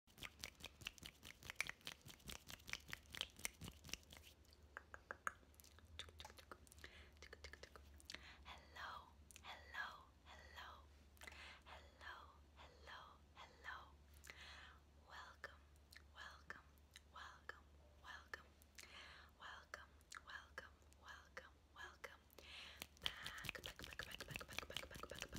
Hello, hello, hello, hello, hello, hello. Welcome, welcome, welcome, welcome, welcome, welcome, welcome, welcome. Back,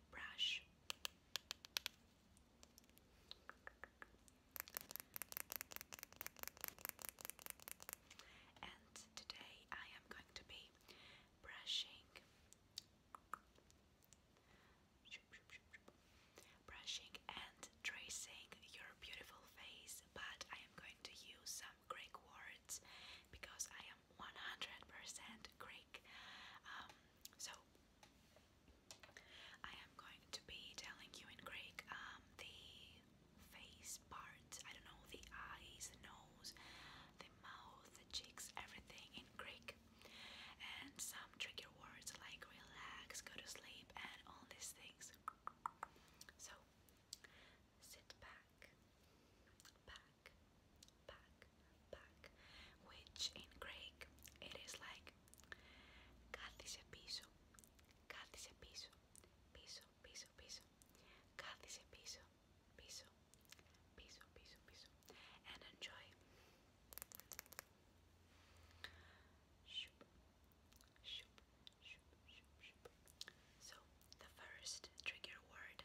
brush. And today I am going to be brushing brushing and tracing your beautiful face, but I am going to use some Greek words because I am. 100% Greek. Um, so, I am going to be telling you in Greek um, the face parts, I don't know, the eyes, the nose, the mouth, the cheeks, everything in Greek. And some trigger words like relax, go to sleep, and all these things. So, sit back, back, back, back. Which in Greek it is like Κάθισε πίσω, κάθισε πίσω, πίσω, πίσω, πίσω. Κάθισε πίσω, πίσω, πίσω, πίσω, And enjoy. So the first trigger word,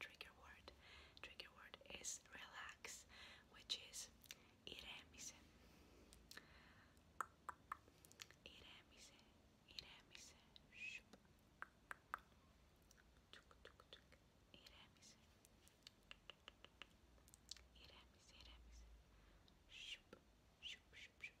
trigger word, trigger word is relax, which is iremise. Iremise, iremise, shup. Tuk tuk tuk, iremise. Iremise, iremise, shup, shup, shup.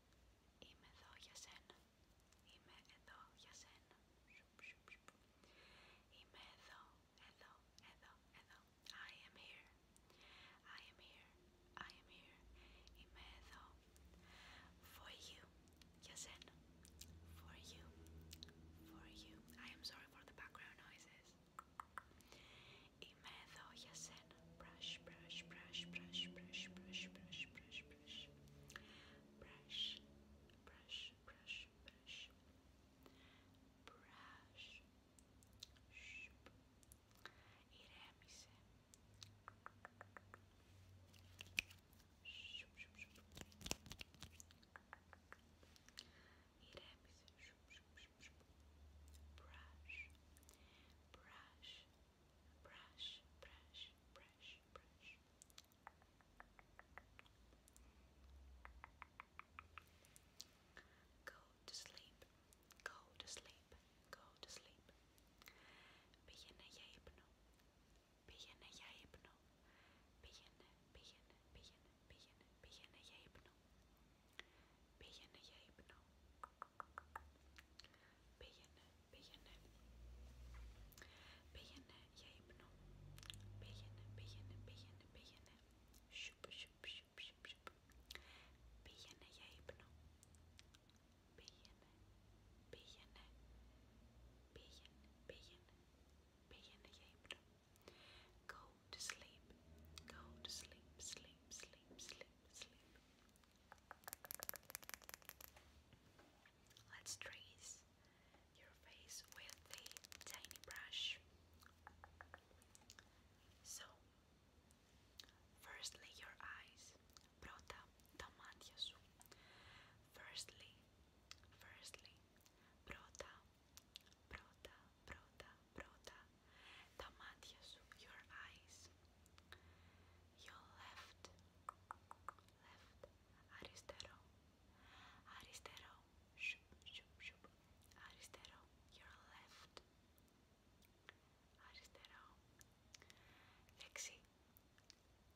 Είμαι εδώ για σένα. Είμαι εδώ για σένα. Είμαι εδώ, εδώ, εδώ, εδώ. I am here. I am here. I am here. Είμαι εδώ. For you. Για σένα. For you. For you. I am sorry for the background noises. Είμαι εδώ για σένα and brush, brush, brush, brush, brush, brush, brush, brush, brush, brush, brush, brush, brush, brush, Şup. İrem ise şup şup şup İrem ise şup şup şup şup brush brush brush, brush, brush, brush. Go to sleep, go to sleep, go to sleep. Πήγαινε για ύπνο, πήγαινε για ύπνο, πήγαινε, πήγαινε, πήγαινε, πήγαινε, πήγαινε για ύπνο. Πήγαινε για ύπνο. Πήγαινε, πήγαινε. Πήγαινε για ύπνο. Πήγαινε, πήγαινε, πήγαινε, πήγαινε. Σουπ, σουπ, σουπ, σουπ, σουπ. Πήγαινε για ύπνο. Πήγαινε, πήγαινε. Πήγαινε, πήγαινε. Πήγαινε για ύπνο. Go to sleep. Go to sleep, sleep, sleep, sleep, sleep. Let's trace your face with a tiny brush. So, firstly, your eyes. Firstly, firstly, brota, brota, tamatias, your eyes. Your left, left, aristero, aristero, shup, shup, shup, aristero, your left, aristero, lexi,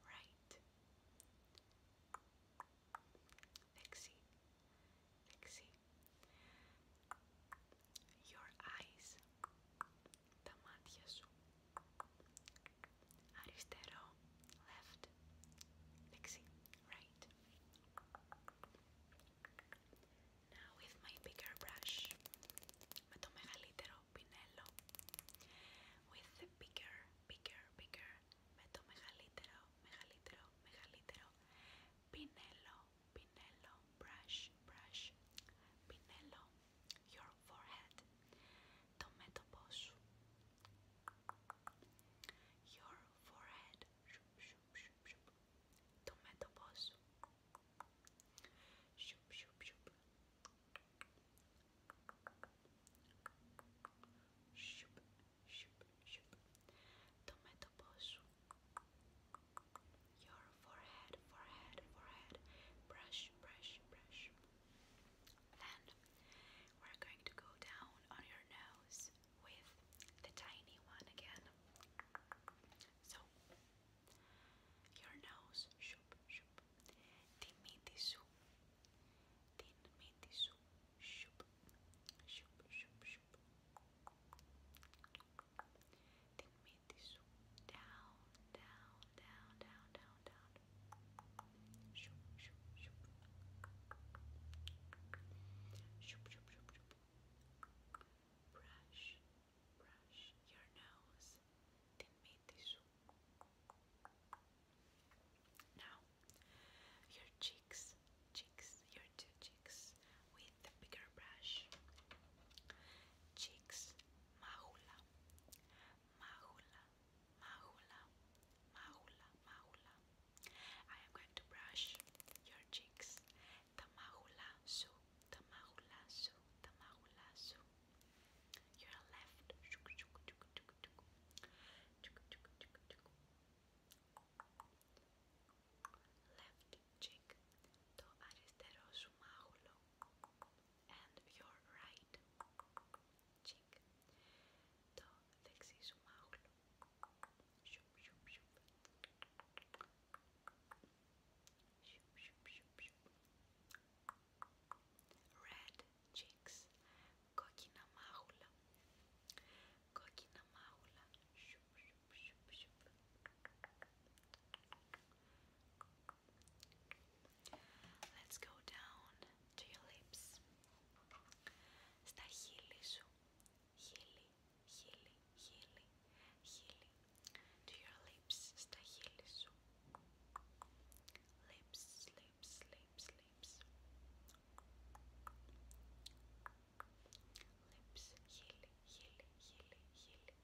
right, lexi, Lexi. Your eyes. Τα μάτια σου. Αριστερό. Left. Lexi. Right. Now with my bigger brush. Με το μεγαλύτερο πινέλο. With the bigger, bigger, bigger. Με το μεγαλύτερο, μεγαλύτερο, μεγαλύτερο Pinello, Pinello, brush, brush. Pinello, your forehead. Tomato posu. Your forehead. Shoop, shoop, shoop, shoop. Tomato posu. Shoop, shoop, shoop. Shoop, Shoop. Tomato posu. Your forehead, forehead, forehead. Brush, brush, brush. Then we're going to go down on your nose with the tiny one again. So your nose, shoop, shoop. Dimitisu. Dimitisu. Shoop, shoop, shoop, shoop. Την μύτη σου. Down, down, down, down, down, down. Σουπ, σουπ, σουπ. Σουπ, σουπ, σουπ, Brush, brush your nose. Την μύτη σου. Now, your cheeks. Chicks, your two chicks, with the bigger brush. Chicks, mahula, mahula, mahula, mahula, mahula. I am going to brush your cheeks. Tamahula su, tamahula su, tamahula su. Your left. Your left. left cheek, το αριστερό σου μάγουλο and your right cheek, το δεξί σου μάγουλο red cheeks, κόκκινα μάγουλα Coque na maula. Let's go down to your lips. Στα χείλη σου. Χείλη, χείλη, χείλη, χείλη. To your lips. Στα χείλη Lips, lips, lips, lips lips. Lips, heal, heal, heal, heal, heal.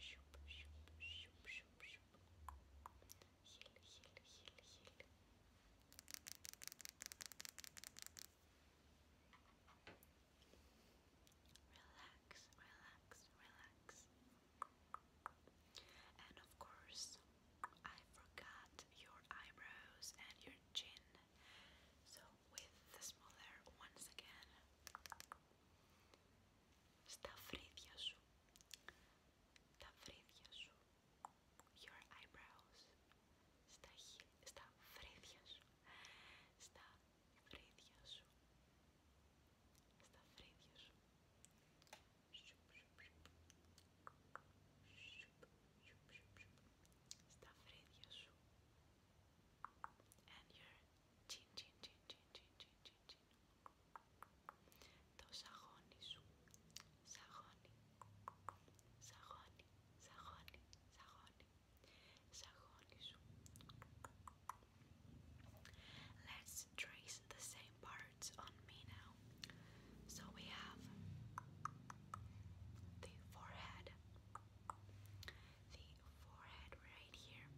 Shoop, shoop, shoop, shoop, shoop. Heal, heal, heal, heal. Relax, relax, relax. And of course, I forgot your eyebrows and your chin. So, with the smaller once again, στα φρύδια your eyebrows, στα, στα φρύδια σου, Στα φρύδια σου. And your chin, chin, chin, chin, chin, chin, chin, chin. Το σαγόνι σου. Σαγόνι. Σαγόνι. Σαγόνι. Σαγόνι. Σαγόνι σου. Let's let the same parts on me now. So we have the forehead, the forehead right here,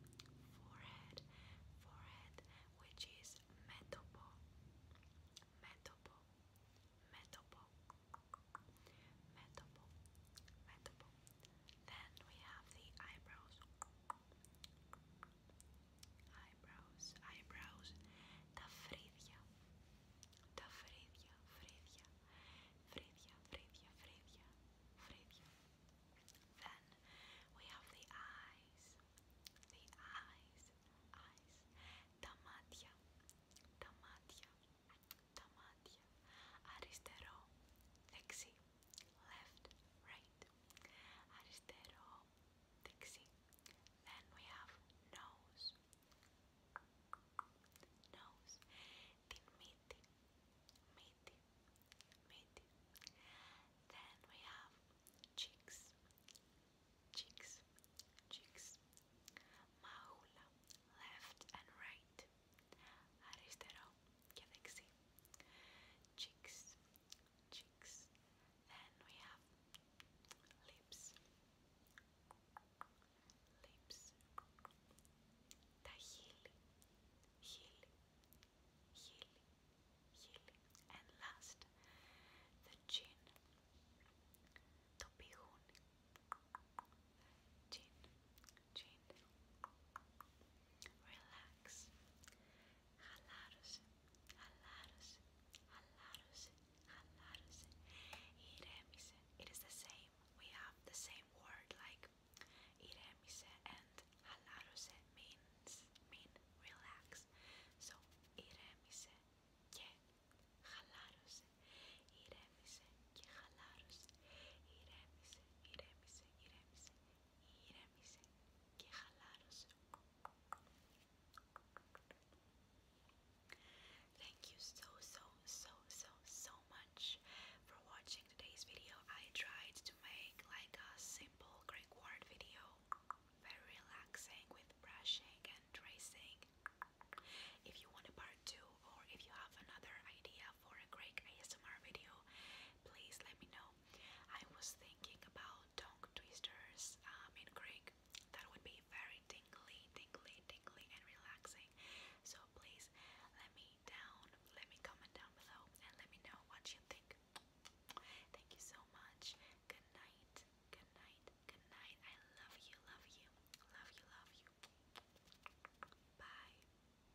forehead, forehead, which is metopo, metopo, metopo, metopo, metopo. Then we have the eyebrows, eyebrows, eyebrows, τα φρύδια, τα φρύδια, φρύδια, φρύδια, φρύδια, φρύδια, φρύδια. Then we have the eyes, the eyes, eyes, τα μάτια, τα μάτια, τα μάτια, αριστερό, δεξί, left, right. Aristero, Dixie. Then we have nose. Nose. Dimiti. Miti. Miti. Then we have cheeks. Cheeks. Cheeks. Maula. Left and right. Aristero. Galaxy. Cheeks cheeks. Then we have lips, lips, the heel, heel, heel, and last the chin, το chin, chin. Relax, Χαλάρωσε, χαλάρωσε, χαλάρωσε, χαλάρωσε. Ηρέμησε. It is the same. We have the same word like ηρέμησε and χαλάρωσε means mean relax. So ηρέμησε και χαλάρωσε. Ηρέμησε και χαλάρωσε. Ηρέμησε, ηρέμησε, ηρέμησε. Thank you so so so so so much for watching today's video. I tried to make like a simple Greek word video, very relaxing with brushing and tracing. If you want a part two or if you have another idea for a Greek ASMR video, please let me know. I was thinking about dong twisters um, in Greek. That would be very dingly, dingly, dingly, and relaxing. So please let me down, let me comment down below and let me know what you think. Thank you so much. Good night. Good night. Good night. I love you, love you. Love you, love you. Bye.